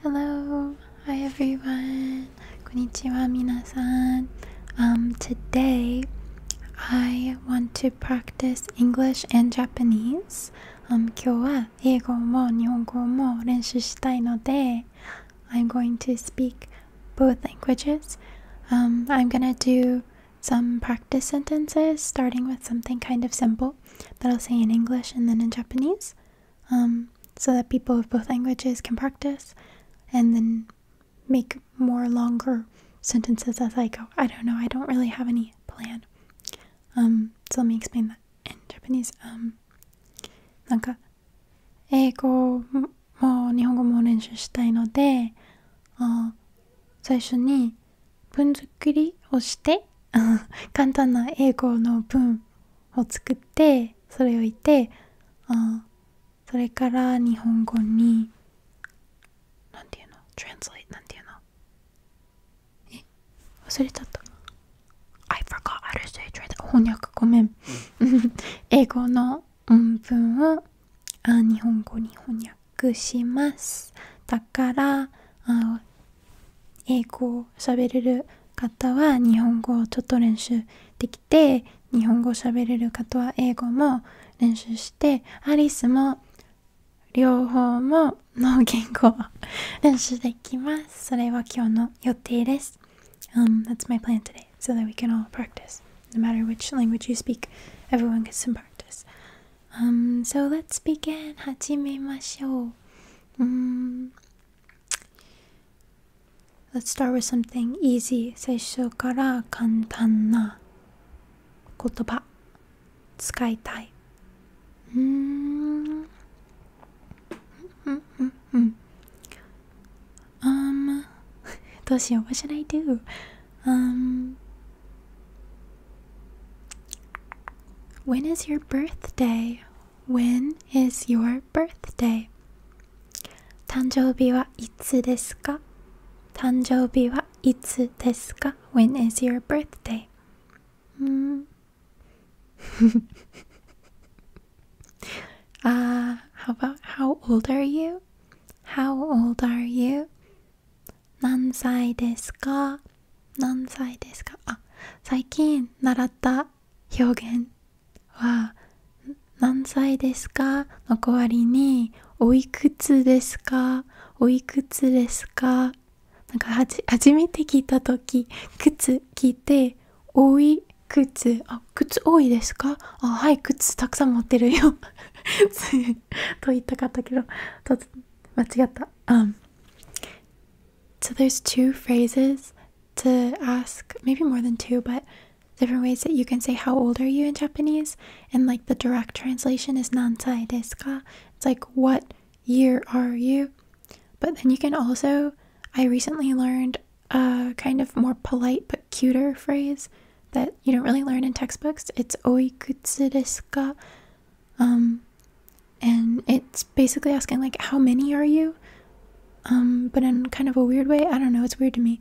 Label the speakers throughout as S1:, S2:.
S1: Hello, hi everyone. Konnichiwa minasan. Um, today I want to practice English and Japanese. Um, i I'm going to speak both languages. Um, I'm gonna do some practice sentences starting with something kind of simple that I'll say in English and then in Japanese um, so that people of both languages can practice and then make more longer sentences as I go. I don't know, I don't really have any plan. Um, so let me explain that in Japanese. Um, なんか英語も日本語も練習したいので、あ最初に文好っくりをして 簡単な英語の文を作ってそれを言ってそれから日本語に何て言うの translate なんて言うのえ忘れちゃった I forgot how to say t r a n s t 翻訳ごめん 英語の文を日本語に翻訳しますだから英語を喋れる方は日本語をちょっと練習できて日本語を喋れる方は英語も練習してアリスも両方もの言語を練習できます。それは今日の予定です。Um, that's my plan today, so that we can all practice. No matter which language you speak, everyone gets some practice. Um, so let's begin. 始めましょう。うん Let's start with something easy 最初から簡単な言葉使いたいうんうんうんうん Um どうしよう What should I do? Um When is your birthday? When is your birthday? 誕生日はいつですか誕生日はいつですか ?When is your birthday? うん hmm. uh, ah, how about how old are you? How old are you? 何歳ですか何歳ですか最近習った表現は何歳ですかの代わりにおいくつですかおいくつですかなんか初めて聞いた時靴着ておいくつあ靴多いですかはい靴たくさん持ってるよ と言いたかったけど間違った、うん、so there's two phrases to ask, maybe more than two, but different ways that you can say how old are you in Japanese. And like the direct translation is nansai deska." It's like what year are you? But then you can also I recently learned a kind of more polite but cuter phrase that you don't really learn in textbooks. It's oikutsu desu and it's basically asking like how many are you um, but in kind of a weird way i don't know it's weird to me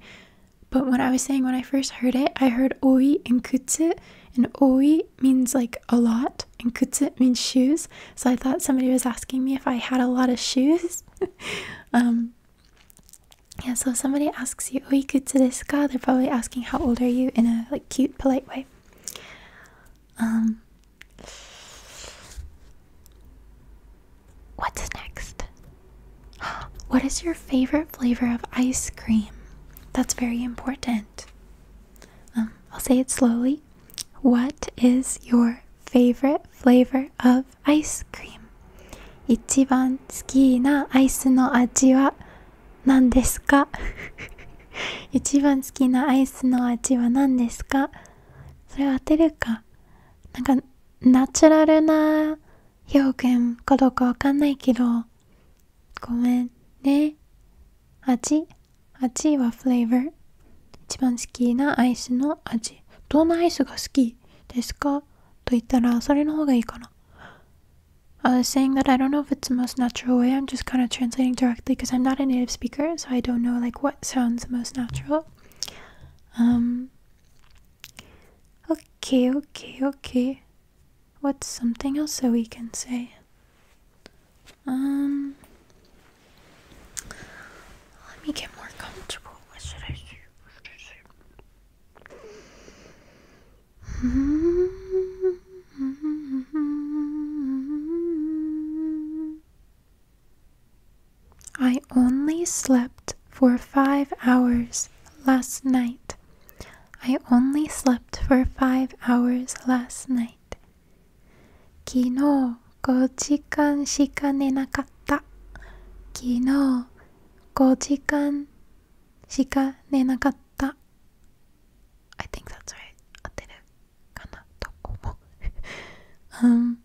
S1: but when i was saying when i first heard it i heard oi and kutsu and oi means like a lot and kutsu means shoes so i thought somebody was asking me if i had a lot of shoes um, yeah so if somebody asks you oi kutsu desu ka they're probably asking how old are you in a like cute polite way um, What's next? What is your favorite flavor of ice cream? That's very important. Um, I'll say it slowly. What is your favorite flavor of ice cream? 一番好きなアイスの味は何ですか 一番好きなアイスの味は何ですかそれ当てるかなんかナチュラルな表現かどうかわかんないけどごめんね味味はフレーバー一番好きなアイスの味どんなアイスが好きですかと言ったらそれの方がいいかな I was saying that I don't know if it's the most natural way. I'm just kind of translating to because I'm not a native speaker, so I don't know like what sounds most natural. Um Okay, okay, okay. What's something else that we can say? Um Let me get more comfortable. What should I What should I say? Hmm. I only slept for five hours last night. I only slept for five hours last night. 昨日5時間しか寝なかった。昨日5時間しか寝なかった。I think that's right. 合ってる。かなと思う Um,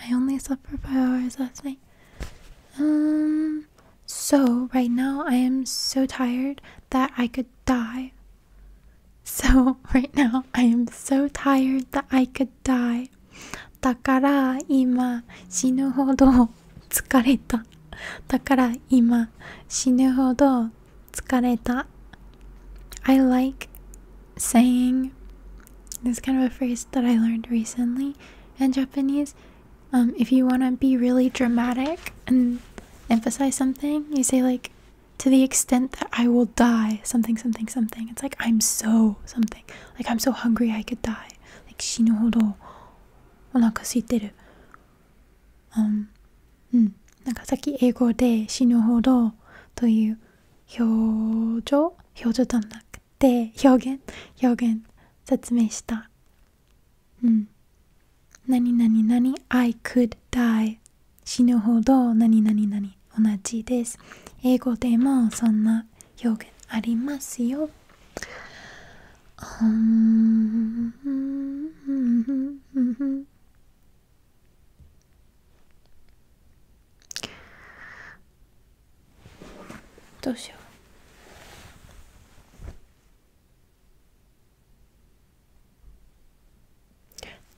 S1: I only slept for five hours last night. Um, so right now I am so tired that I could die. So right now I am so tired that I could die. だから今死ぬほど疲れた。だから今死ぬほど Tsukareta. I like saying this kind of a phrase that I learned recently in Japanese. Um, if you want to be really dramatic and emphasize something, you say like to the extent that I will die, something, something, something. It's like I'm so something. Like I'm so hungry I could die. Like shinohodo onaka suiteru. Um うん、なんかさっき英語で死ぬほどという表情表情じゃなくて表現表現説明した。うん。何々何 I could die 死ぬほど何々何同じです。英語でもそんな表現ありますよ。うん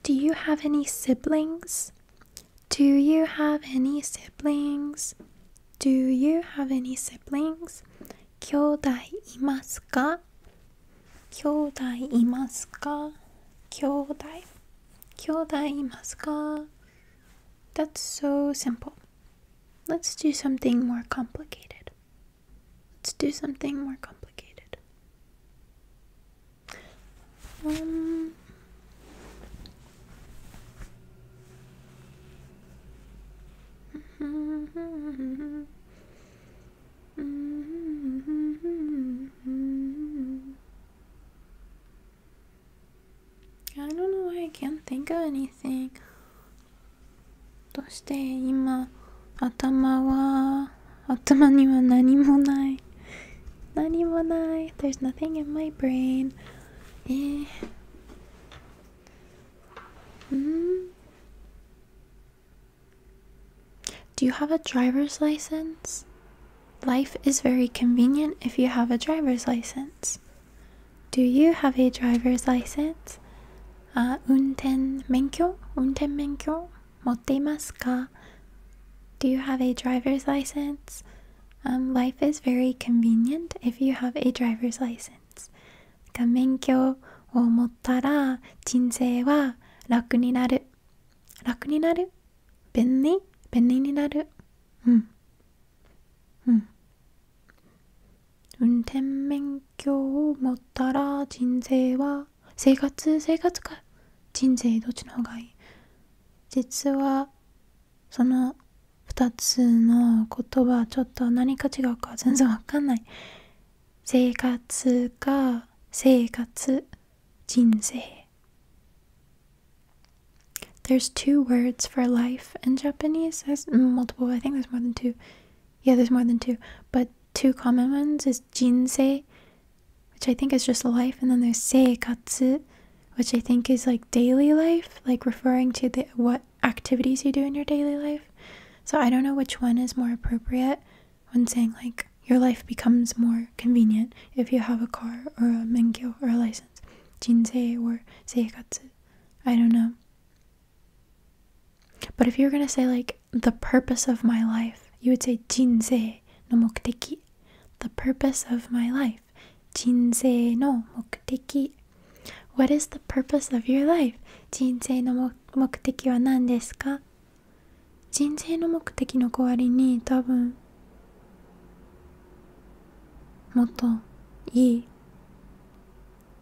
S1: Do you have any siblings? Do you have any siblings? Do you have any siblings? 兄弟いますか兄弟いますか？兄弟、兄弟いますか？That's so simple. Let's do something more complicated. Let's do something more complicated. Um, Mm-hmm. I don't know why I can't think of anything. どうして今頭は頭には何もない。何もない。There's nothing in my brain. Eh. Mm-hmm. Do you have a driver's license? Life is very convenient if you have a driver's license. Do you have a driver's license? Uh, 運転免許運転免許持っていますか Do you have a driver's license? Um, life is very convenient if you have a driver's license. 免許を持ったら人生は楽になる楽になる便利便利になるうんうん運転免許を持ったら人生は生活生活か人生どっちの方がいい実はその2つの言葉ちょっと何か違うか全然わかんない生活か生活 jinsei. There's two words for life in Japanese. There's multiple. I think there's more than two. Yeah, there's more than two. But two common ones is jinsei, which I think is just life, and then there's seikatsu, which I think is like daily life, like referring to the what activities you do in your daily life. So I don't know which one is more appropriate when saying like your life becomes more convenient if you have a car or a menkyo or a license. Jinsei or seikatsu. I don't know. But if you were gonna say like the purpose of my life, you would say jinsei no mokuteki. The purpose of my life. Jinsei no mokuteki. What is the purpose of your life? Jinsei no mokuteki wa nan desu ka? 人生の目的の代わりに多分もっといい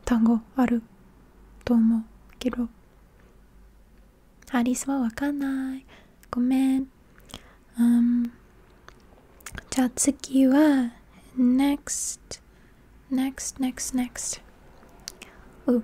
S1: 単語あると思うけどアリスはわかんないごめん、うん、じゃあ次は next next next next う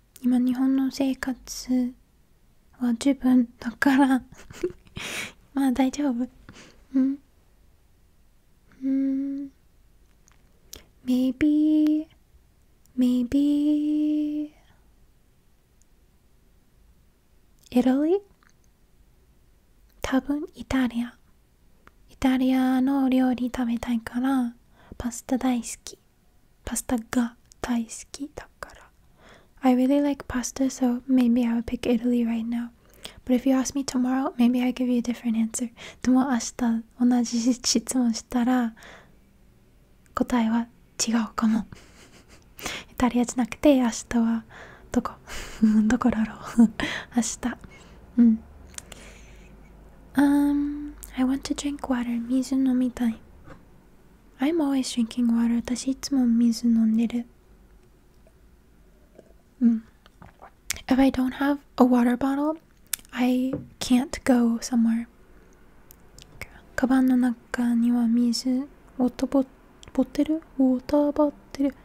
S1: 今日本の生活は十分だから まあ大丈夫うんうん maybe maybe Italy 多分イタリアイタリアのお料理食べたいからパスタ大好きパスタが大好きだから I really like pasta so maybe I would pick Italy right now But if you ask me tomorrow maybe I give you a different answer でも明日同じ質問したら答えは違うかもイタリアじゃなくて明日はどこどこだろう明日うん Um, I want to drink water. 水飲みたい。I'm always drinking water. 私いつも水飲んでる。うん。If I don't have a water bottle, I can't go somewhere. カバンの中には水、ウォーターボボテルウォーターボテル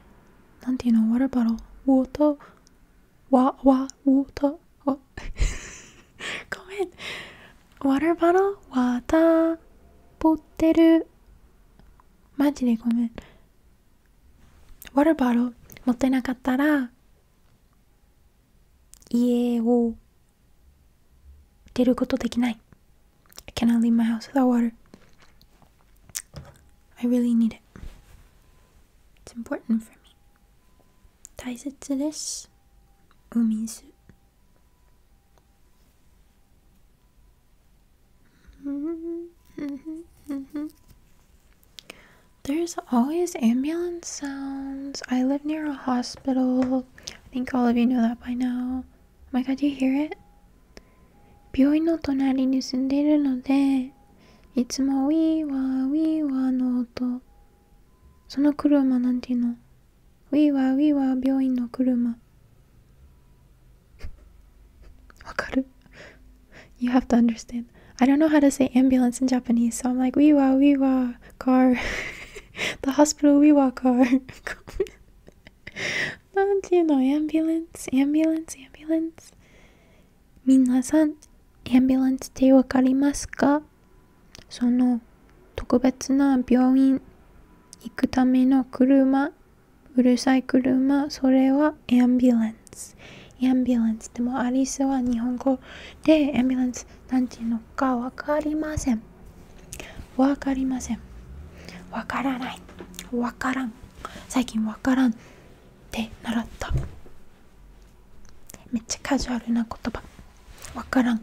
S1: なんていうのワラバロウォーター、わ、わ、ウォーター。ごめん。water bottle? わたぼってる。マジでごめん。water bottle 持ってなかったら家を出ることできない。I cannot leave my house without water. I really need it. It's important for me. 大切です。お水 There's always ambulance sounds. I live near a hospital. I think all of you know that by now. Oh my god, do you hear it? 病院の隣に住んでいるので、いつもウィーワーウィーワーの音その車なんていうのウィーワーウィーワー病院の車。わかる ?You have to understand. I don't know how to say ambulance in Japanese, so I'm like, we wa, we wa, car. the hospital, we wa, car. なんていうの ?ambulance, ambulance, ambulance. みなさん、ambulance ってわかりますかその特別な病院行くための車うるさい車それはエンビュランスエンビュランスでもアリスは日本語でエンビュランスなんていうのかわかりませんわかりませんわからないわからん最近わからんって習っためっちゃカジュアルな言葉わからん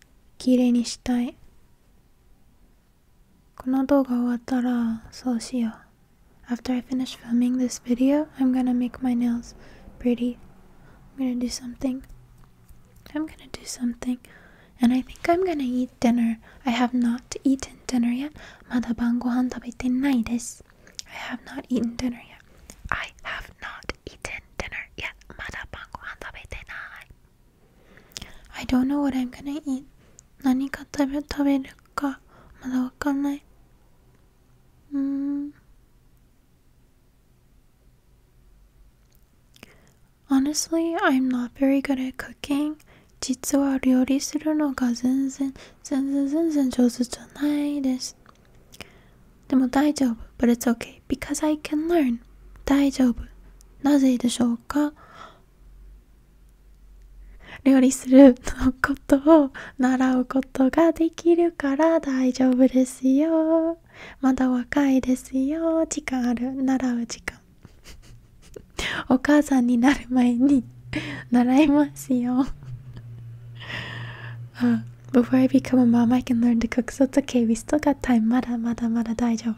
S1: きれいにしたいこの動画終わったらそうしよう I finish filming this video, I'm gonna make my nails pretty. I'm gonna do something. I'm gonna do something. And I think I'm gonna eat dinner. I have not eaten dinner yet. I have not eaten dinner yet. I have not eaten dinner yet. まだ晩ご飯食べてない。I don't know what I'm gonna eat. 何か食べ食べるかまだわかんない。うーん。Honestly, I'm not very good at cooking. 実は料理するのが全然、全然全然上手じゃないです。でも大丈夫。But it's okay. because I can learn 大丈夫なぜでしょうか料理するのことを習うことができるから大丈夫ですよまだ若いですよ時間ある習う時間 お母さんになる前に習いますよあ Before I become a mom, I can learn to cook, so it's okay. We still got time. Mada, mada, mada, daijoubu.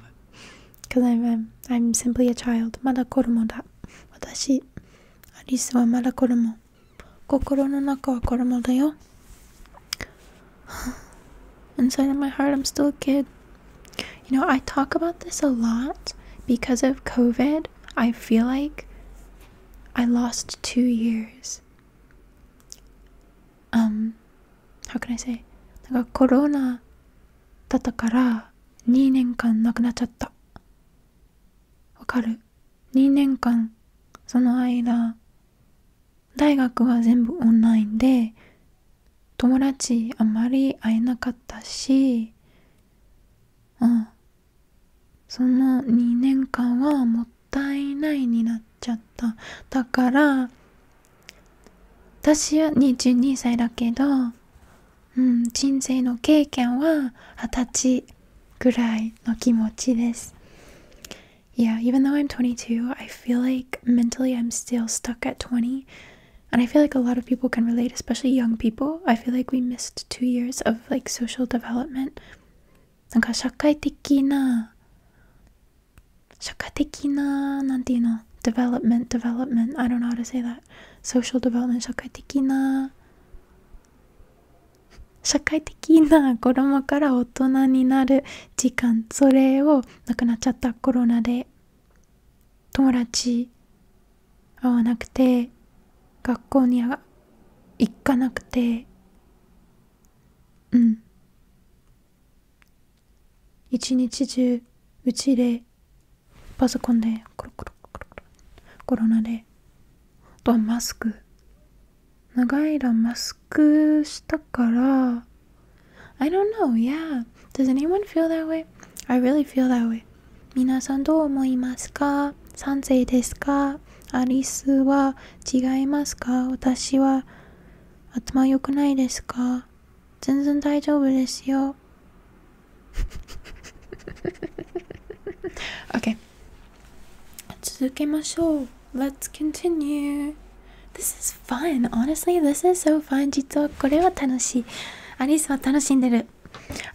S1: Because I'm, I'm, I'm simply a child. Mada koromo da. Watashi, Arisu wa mada koromo. Kokoro no naka wa koromo da yo. Inside of my heart, I'm still a kid. You know, I talk about this a lot because of COVID. I feel like I lost two years. um, how can I s コロナだったから2年間なくなっちゃった。わかる ?2 年間、その間、大学は全部オンラインで、友達あまり会えなかったし、うん。その2年間はもっったいないになっちゃっただから私は22歳だけど、うん、人生の経験は二十歳ぐらいの気持ちです Yeah, even though I'm 22, I feel like mentally I'm still stuck at 20. And I feel like a lot of people can relate, especially young people. I feel like we missed two years of like social development. なんか社会的な社会的な、なんていうの ?development, development, I don't know how to say that. social development, 社会的な、社会的な子供から大人になる時間、それをなくなっちゃったコロナで、友達会わなくて、学校に行かなくて、うん。一日中、うちで、パソコンで、コロナで、あとはマスク。長い間マスクしたから、I don't know, yeah. Does anyone feel that way? I really feel that way. 皆さんどう思いますか賛成ですかアリスは違いますか私は頭良くないですか全然大丈夫ですよ。okay. 続けましょう。Let's continue. This is fun. Honestly, this is so fun. 実はこれは楽しい。アリスは楽しんでる。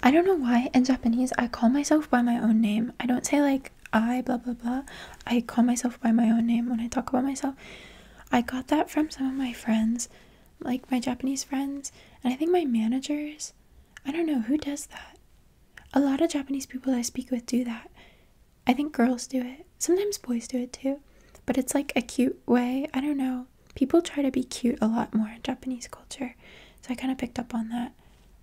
S1: I don't know why in Japanese I call myself by my own name. I don't say like I blah blah blah. I call myself by my own name when I talk about myself. I got that from some of my friends, like my Japanese friends, and I think my managers. I don't know who does that. A lot of Japanese people I speak with do that. I think girls do it. Sometimes boys do it too. But it's like a cute way. I don't know. People try to be cute a lot more in Japanese culture. So I kind of picked up on that.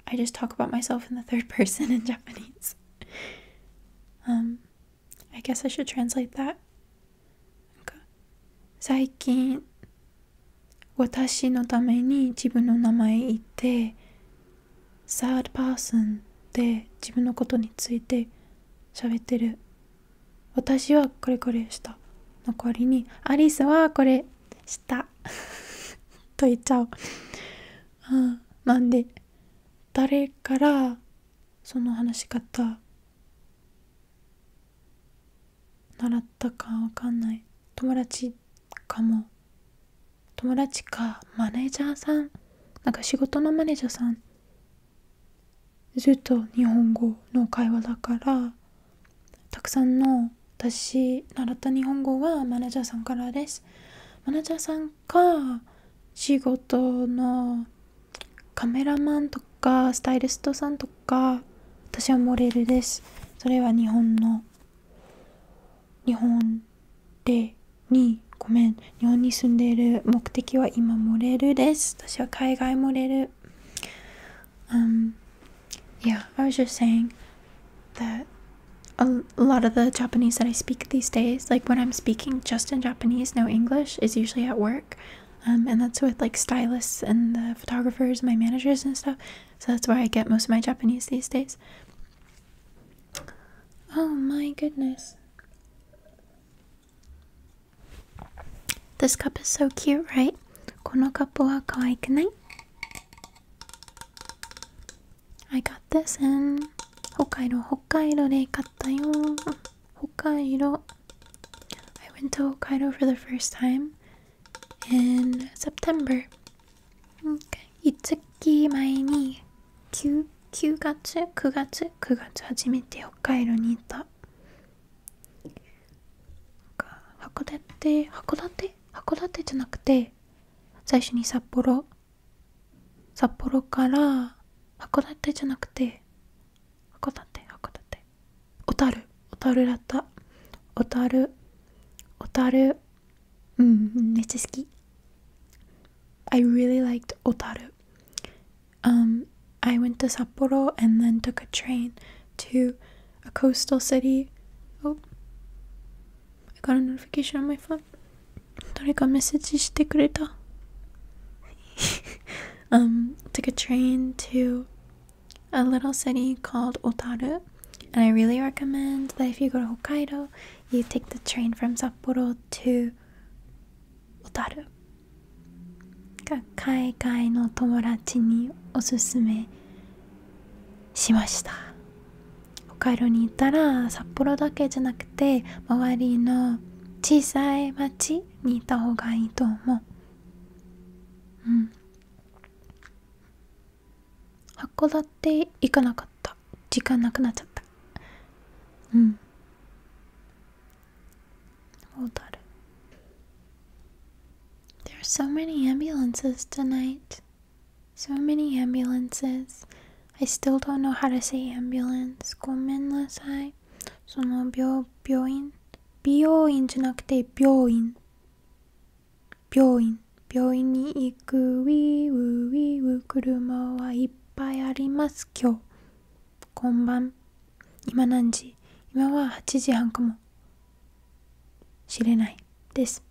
S1: I just talk about myself in the third person in Japanese. Um I guess I should translate that. 最近私のために自分の名前言って third person で自分のことについて喋ってる私はこれこれした残りにアリスはこれしたと言っちゃう、うん、なんで誰からその話し方習ったかわかんない友達かも友達かマネージャーさんなんか仕事のマネージャーさんずっと日本語の会話だからたくさんの私習った日本語はマネージャーさんからですマネージャーか仕事のカメラマンとかスタイリストさんとか私はモデルですそれは日本の日本でにごめん日本に住んでいる目的は今モデルです私は海外モデル Um, yeah, I was just saying t h a lot of the Japanese that I speak these days, like when I'm speaking just in Japanese, no English, is usually at work. Um, and that's with like stylists and the photographers, my managers and stuff. So that's where I get most of my Japanese these days. Oh my goodness. This cup is so cute, right? このカップは可愛くない I got this in 北海道、北海道で買ったよ。北海道。I went to Hokkaido for the first time in September. Okay. 5月前に 9, 9月、9月、9月初めて北海道に行った。函館、函館函館じゃなくて、最初に札幌、札幌から函館じゃなくて函館函館小樽小樽だった小樽小樽うんめちゃ好き I really liked 小樽 um I went to s a p and then took a train to a coastal city oh I got a notification on my phone 誰かメッセージしてくれた um, took a train to a little city called Otaru. And I really recommend that if you go to Hokkaido, you take the train from Sapporo to Otaru. 海外の友達におすすめしました。北海道に行ったら札幌だけじゃなくく周りの小さい町にいたほうがいいと思ううん函館行かなかった時間なくなっちゃったうんだる。There are so many ambulances tonight. So many ambulances. I still don't know how to say ambulance. ごめんなさい。その病病院美容院じゃなくて病院。病院。病院に行くウィウウィウ車はいっぱいあります今日。こん今何時今は8時半かも。知れないです。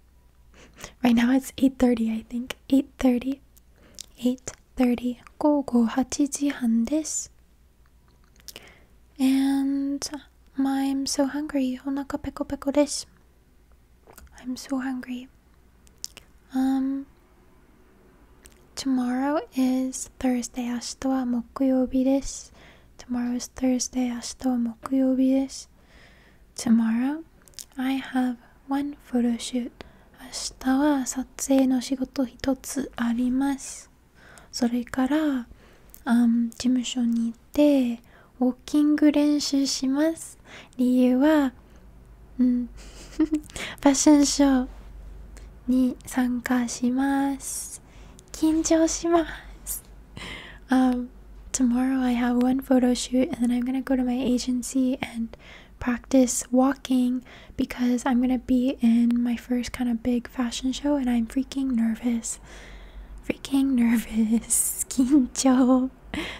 S1: right now it's 8.30 I think. 8.30. 8. 30 gogo hachijihan desu and I'm so hungry onaka peko peko desu I'm so hungry um tomorrow is Thursday ashito wa mokuyobi desu tomorrow is Thursday ashito wa mokuyobi desu tomorrow I have one photo shoot 明日は撮影の仕事一つありますそれから、um, 事務所に行ってウォーキング練習します理由は、うん、ファッションショーに参加します緊張します um, Tomorrow I have one photo shoot and then I'm gonna go to my agency and practice walking because I'm gonna be in my first kind of big fashion show and I'm freaking nervous. Freaking nervous. Kincho.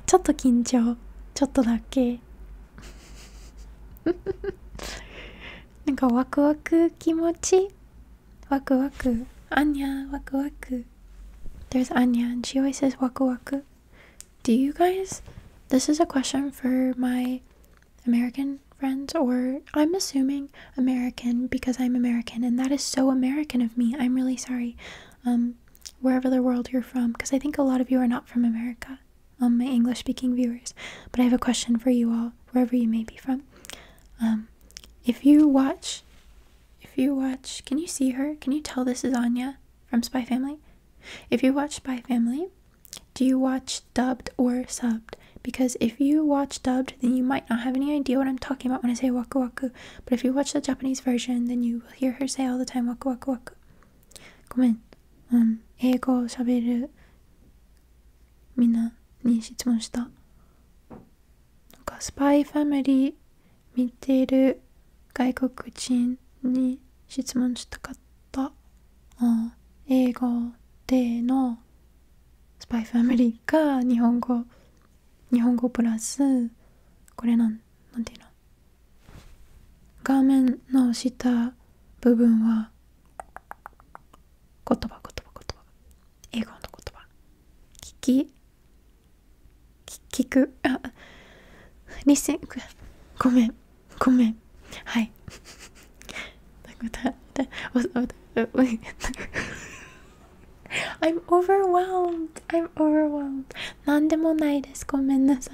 S1: Chotto kincho. Chotto dake. なんかワクワク気持ちワクワクアニャワクワク There's Anya and she always says waku waku do you guys? This is a question for my American friends, or I'm assuming American because I'm American, and that is so American of me. I'm really sorry. Um, wherever the world you're from, because I think a lot of you are not from America. Um, my English speaking viewers, but I have a question for you all, wherever you may be from. Um, if you watch, if you watch, can you see her? Can you tell this is Anya from Spy Family? If you watch Spy Family, do you watch dubbed or subbed? Because if you watch dubbed, then you might not have any idea what I'm talking about when I say waku waku. But if you watch the Japanese version, then you will hear her say all the time waku waku waku. ごめん。うん。英語を喋るみんなに質問した。なんかスパイファミリー見てる外国人に質問したかった、う英語でのスパイファミリーが日本語日本語プラスこれなんなんていうの画面の下部分は言葉言葉言葉英語の言葉聞き聞くあリスンごめん i am overwhelmed I'm overwhelmed 何でもないですごめんなさい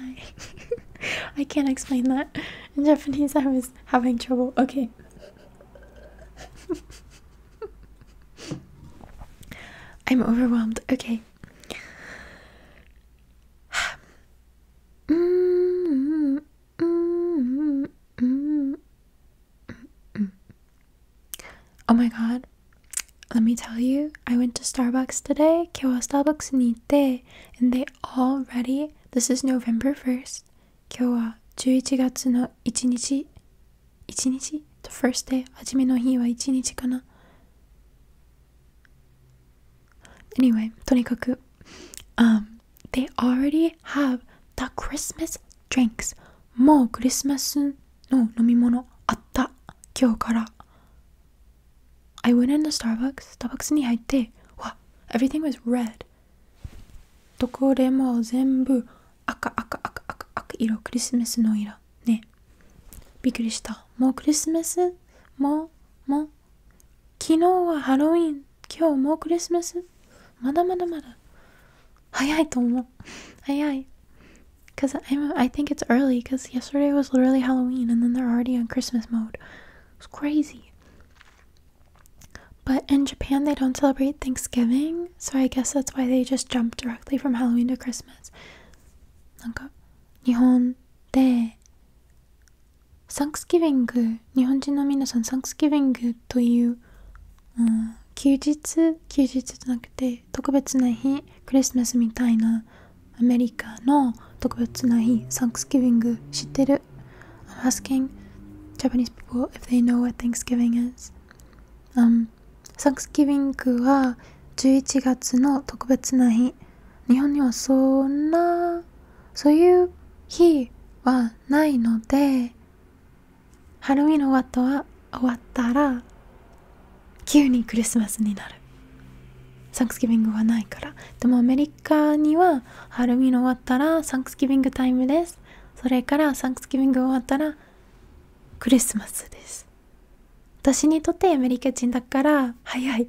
S1: I can't explain that in Japanese I was having trouble okay I'm overwhelmed okay Mm, mm, mm, oh my god. Let me tell you, I went to Starbucks today. Kyowa Starbucks niite, and they already this is November 1st. Kyowa 11月の1日1日 the first day 初めの日は1日かな Anyway, とにかく、um, they already have the Christmas drinks. もうクリスマスの飲み物あった。今日から。I went in the Starbucks. Starbucks に入って、わ、everything was red. どこでも全部赤赤赤赤赤色、クリスマスの色。ね。びっくりした。もうクリスマスも、も、昨日はハロウィン今日もうクリスマスまだまだまだ早いと思う早い Because I think it's early because yesterday was literally Halloween and then they're already on Christmas mode. It's crazy. But in Japan, they don't celebrate Thanksgiving, so I guess that's why they just jump directly from Halloween to Christmas. なんか、日本でサンクスギビング日本人の皆さんサンクスギビングという、休日休日じゃなくて特別な日クリスマスみたいなアメリカの特別な日サンクスギビング知ってる asking Japanese people if they know what Thanksgiving is、サンクスギビングは11月の特別な日日本にはそんなそういう日はないのでハロの終わったは終わったら急にクリスマスになるサンクスギビングはないからでもアメリカにはハロの終わったらサンクスギビングタイムですそれからサンクスギビング終わったらクリスマスです私にとってアメリカ人だから早い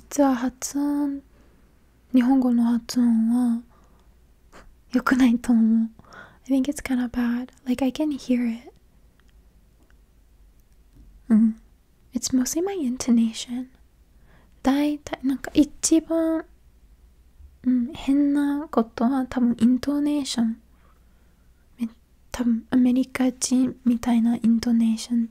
S1: 実は発音日本語の発音は良くないと思う I think it's kind of bad like I can hear it うん It's mostly my intonation 大体なんか一番、うん、変なことは多分イントネーション多分アメリカ人みたいなイントネーション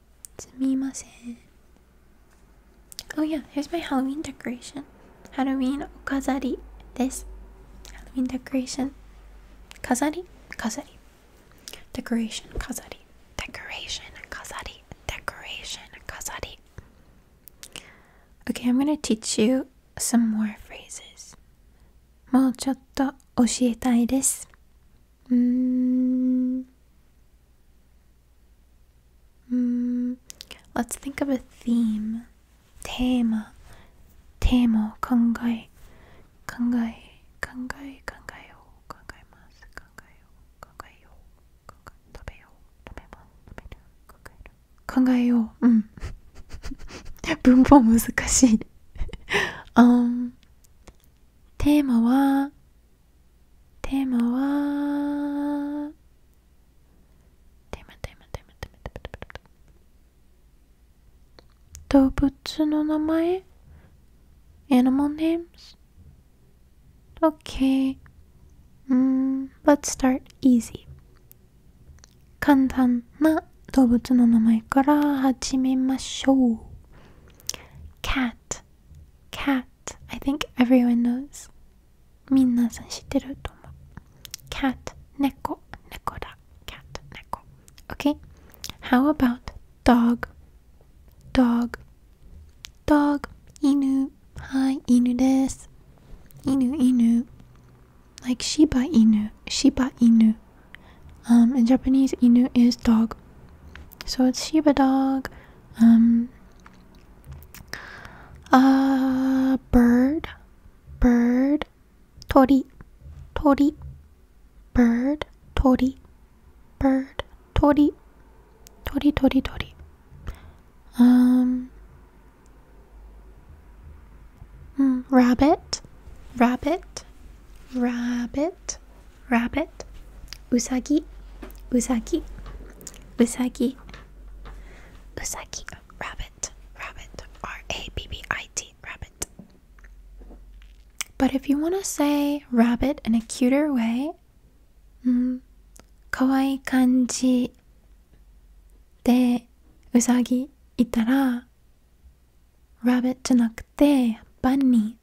S1: Sumimasen. Oh yeah, here's my Halloween decoration. Halloween okazari this. Halloween decoration. Kazari, kazari. Decoration, kazari. Decoration, kazari. Decoration, kazari. Okay, I'm gonna teach you some more phrases. もうちょっと教えたいです。Mm. Mm. Let's think of a theme. テーマ。テーマを考え、考え、考え、考えよう、考えます。考えよう、考えよう、考え、食べよう、食べます、食べる、考える。考えよう、うん。文法難しい um, テーマはテーマはテーマテーマテーマテーマテーマテーマ動物の名前 Animal names? Okay. Mm, let's start easy. 簡単な動物の名前から始めましょう。cat cat. I think everyone knows. Cat. Neko. Cat. Neko. Okay. How about dog? dog, dog, Inu. Inu. Inu. Hi, Like Shiba Inu, Shiba Inu. Um, in Japanese, Inu is dog. So it's Shiba dog, um, uh, bird, bird, tori, tori, bird, tori, bird, tori, tori, tori, tori. Um, hmm, rabbit, rabbit, rabbit, rabbit, usagi, usagi, usagi, usagi, rabbit, rabbit, R A B B I T, rabbit. But if you want to say rabbit in a cuter way, mm, kawaii kanji de usagi itara, rabbit じゃなくて bunny,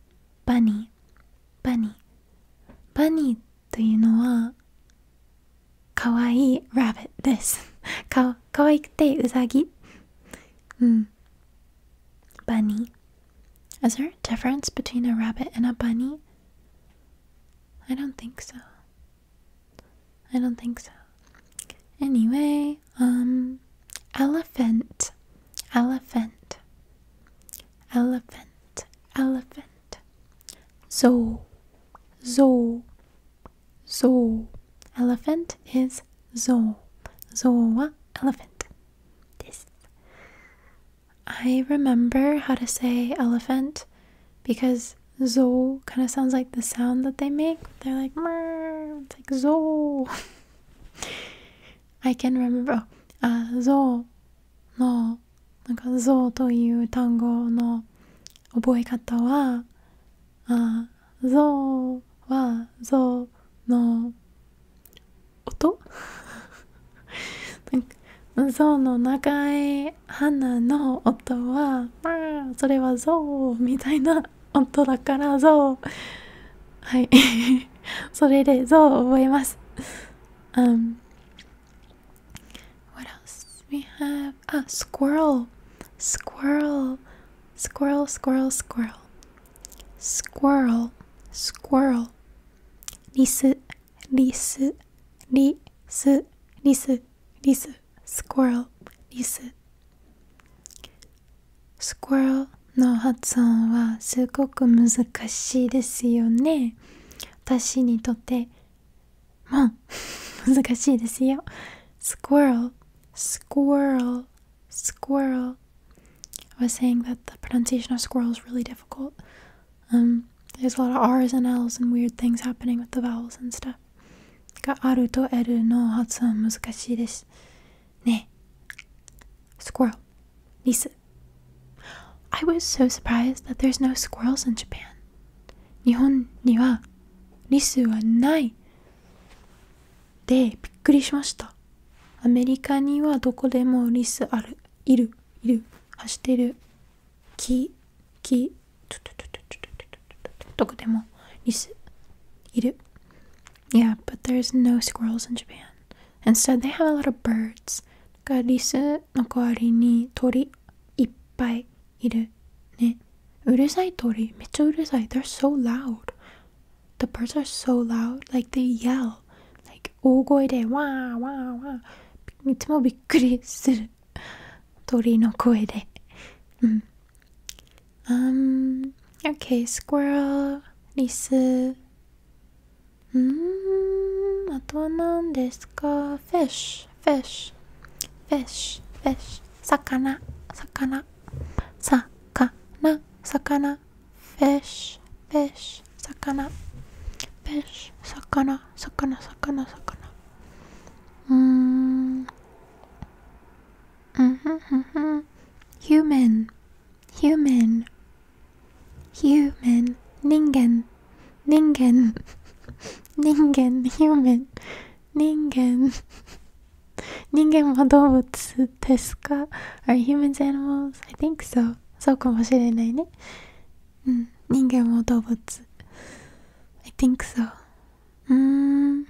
S1: bunny, Bunny, バニーバニーというのはかわいいラビットですかかわいくてうさぎうんバニー Is there a difference between a rabbit and a bunny? I don't think so. I don't think so. Anyway, um, elephant. Elephant elephant, elephant. Zo, zo, zo. Elephant is zo. Zoa, elephant. This. I remember how to say elephant because zo kind of sounds like the sound that they make. They're like, Mer. it's like zo. I can remember あ象のなんか象という単語の覚え方はあ象は象の音 なんか象の長い鼻の音はそれは象みたいな音だから象はい それで象を覚えます。Um, what else we have? Ah, squirrel, squirrel, squirrel, squirrel, squirrel, squirrel, squirrel. リス、リス、リス、リス、リス、squirrel, リス。squirrel, の発音はすごく難しいですよね私にとってもん難しいですよ squirrel squirrel squirrel I was saying that the pronunciation of squirrel is really difficult um there's a lot of r's and l's and weird things happening with the vowels and stuff があると L の発音難しいですね squirrel リス I was so surprised that there's no squirrels in Japan. 日本にはリスはない。で、びっくりしました。アメリカにはどこでもリスある。いる、いる、走ってる。木、木、どこでもリスいる。Yeah, but there's no squirrels in Japan. Instead, they have a lot of birds. がリスの代わりに鳥いっぱいいるね。うるさい鳥めっちゃうるさい。They're so loud. The birds are so loud. Like they yell. Like 大声でわーわーわー。いつもびっくりする。鳥の声で。うん。Um, mm. okay, squirrel, リス、うんあとは何ですかフィッシュフィッシュフィッシュフ魚魚魚魚フィッシュフィッ魚フィッシ魚魚魚うーんうんふんふんふん human human human 人間人間人間 human 人間人間は動物ですか ?Are humans animals? I think so そうかもしれないねうん人間も動物 I think so うーん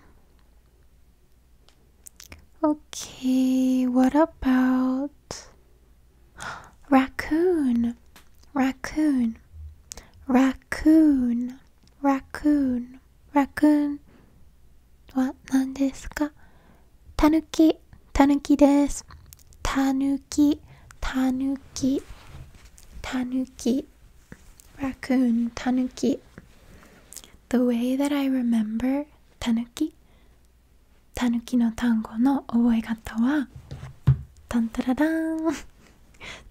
S1: Okay, what about Raccoon, raccoon, raccoon, raccoon, raccoon. は何ですかたぬき、たぬきです。たぬき、たぬき、たぬき。Raccoon, tanuki. The way that I remember tanuki たぬきの単語の覚え方はタンタララン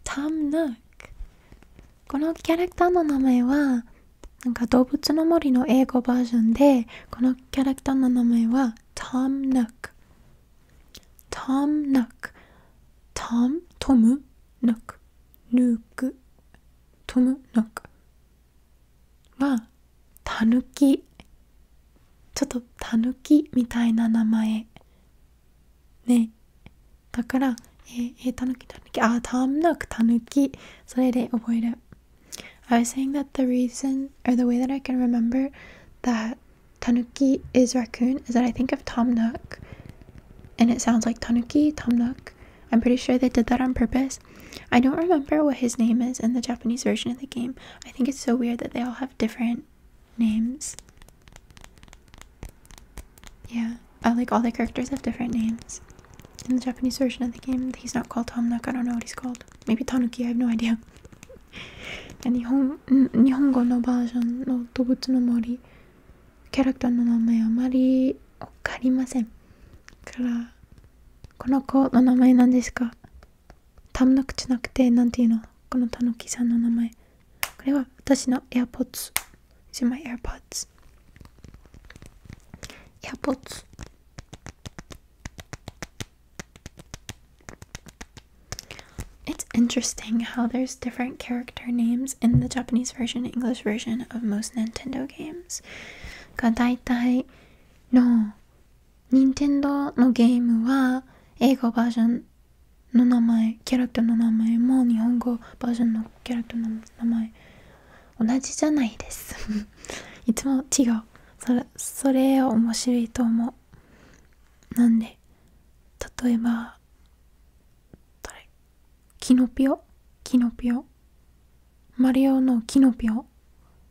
S1: タムヌックこのキャラクターの名前はなんか動物の森の英語バージョンでこのキャラクターの名前はタムヌックタムヌックタムトムヌックヌックトムヌックはたぬきちょっとたぬきみたいな名前ねだからえー、えー、たぬきたぬきあたんぬくたぬきそれで覚える I was saying that the reason or the way that I can remember that tanuki is raccoon is that I think of Tom Nook and it sounds like tanuki, Tom Nook. I'm pretty sure they did that on purpose names. I don't remember what his name is in the Japanese version of the game. I think it's so weird that they all have different names. Yeah, uh, like all the characters have different names. In the Japanese version of the game, he's not called Tomnak. I don't know what he's called. Maybe Tanuki, I have no idea. And Nihongo no version no Tobutsu no Mori character no name amari okarimasen. から、この子の名前なんですか短絡じゃなくて何ていうのこのたぬきさんの名前これは私の AirPods These interesting how there's different character names in the Japanese version English version of most Nintendo games. が大体の任天堂のゲームは英語バージョンの名前キャラクターの名前も日本語バージョンのキャラクターの名前同じじゃないです いつも違うそれそれ面白いと思うなんで例えば誰キノピオキノピオマリオのキノピオ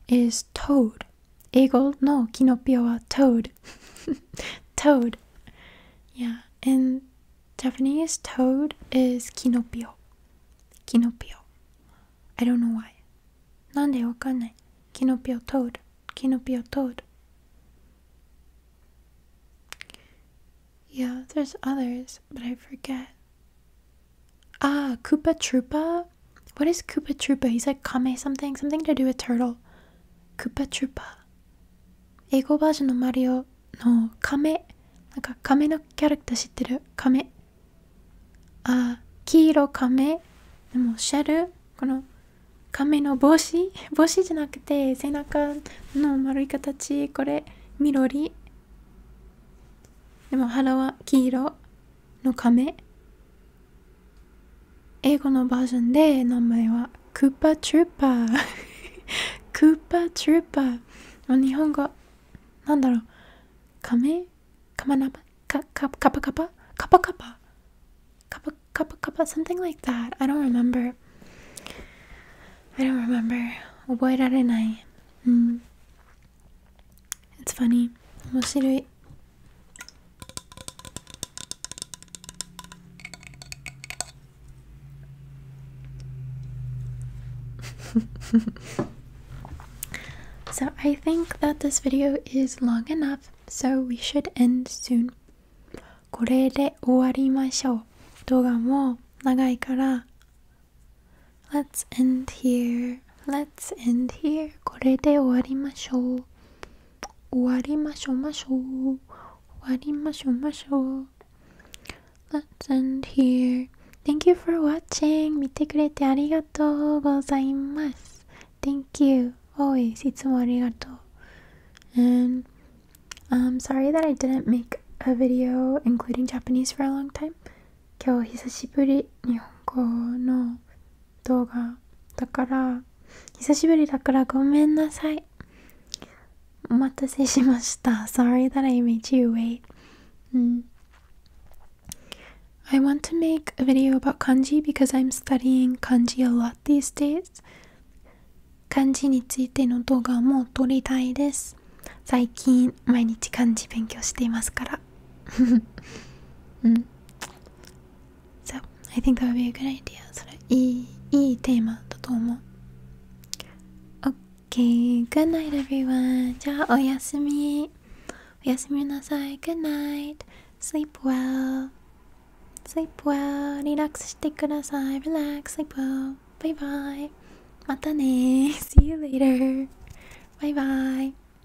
S1: is toad Eagle? No, Kinopio toad. toad. Yeah, in Japanese, toad is Kinopio. Kinopio. I don't know why. Nande wakanai. Kinopio toad. Kinopio toad. Yeah, there's others, but I forget. Ah, Koopa Troopa Koopa? What is Koopa Troopa? He's like Kame something, something to do with turtle. Koopa Troopa. 英語バージョンのマリオの亀。なんか亀のキャラクター知ってる亀。あ、黄色亀。でもシャル、この亀の帽子帽子じゃなくて背中の丸い形。これ、緑。でも腹は黄色。の亀英語のバージョンで名前はクーパーチューパークーパーチューパーの日本語なんだろう亀カマナパカカカパカパカパカパカパカパカパ something like that I don't remember I don't remember 覚えられない、うん、It's funny. 面白い。so I think that this video is long enough, so we should end soon. これで終わりましょう。動画も長いから。Let's end here. here. Let's end here. これで終わりましょう。終わりましょうましょう。終わりましょうましょう。Let's end here. Thank you for watching. 見てくれてありがとうございます。Thank you. Always. いつもありがとう。And I'm um, sorry that I didn't make a video including Japanese for a long time. 今日久しぶり日本語の動画だから久しぶりだからごめんなさいお待たせしました Sorry that I made you wait、mm. I want to make a video about kanji because I'm studying kanji a lot these days 漢字についての動画も撮りたいです最近毎日漢字勉強していますからうん So, I think t h a o u good idea. それいい、いいテーマだと思う。Okay, good night everyone. じゃあおやすみ。おやすみなさい。Good night. Sleep well. Sleep well. リラックスしてください。Relax. Sleep well. Bye bye. またね。See you later. Bye bye.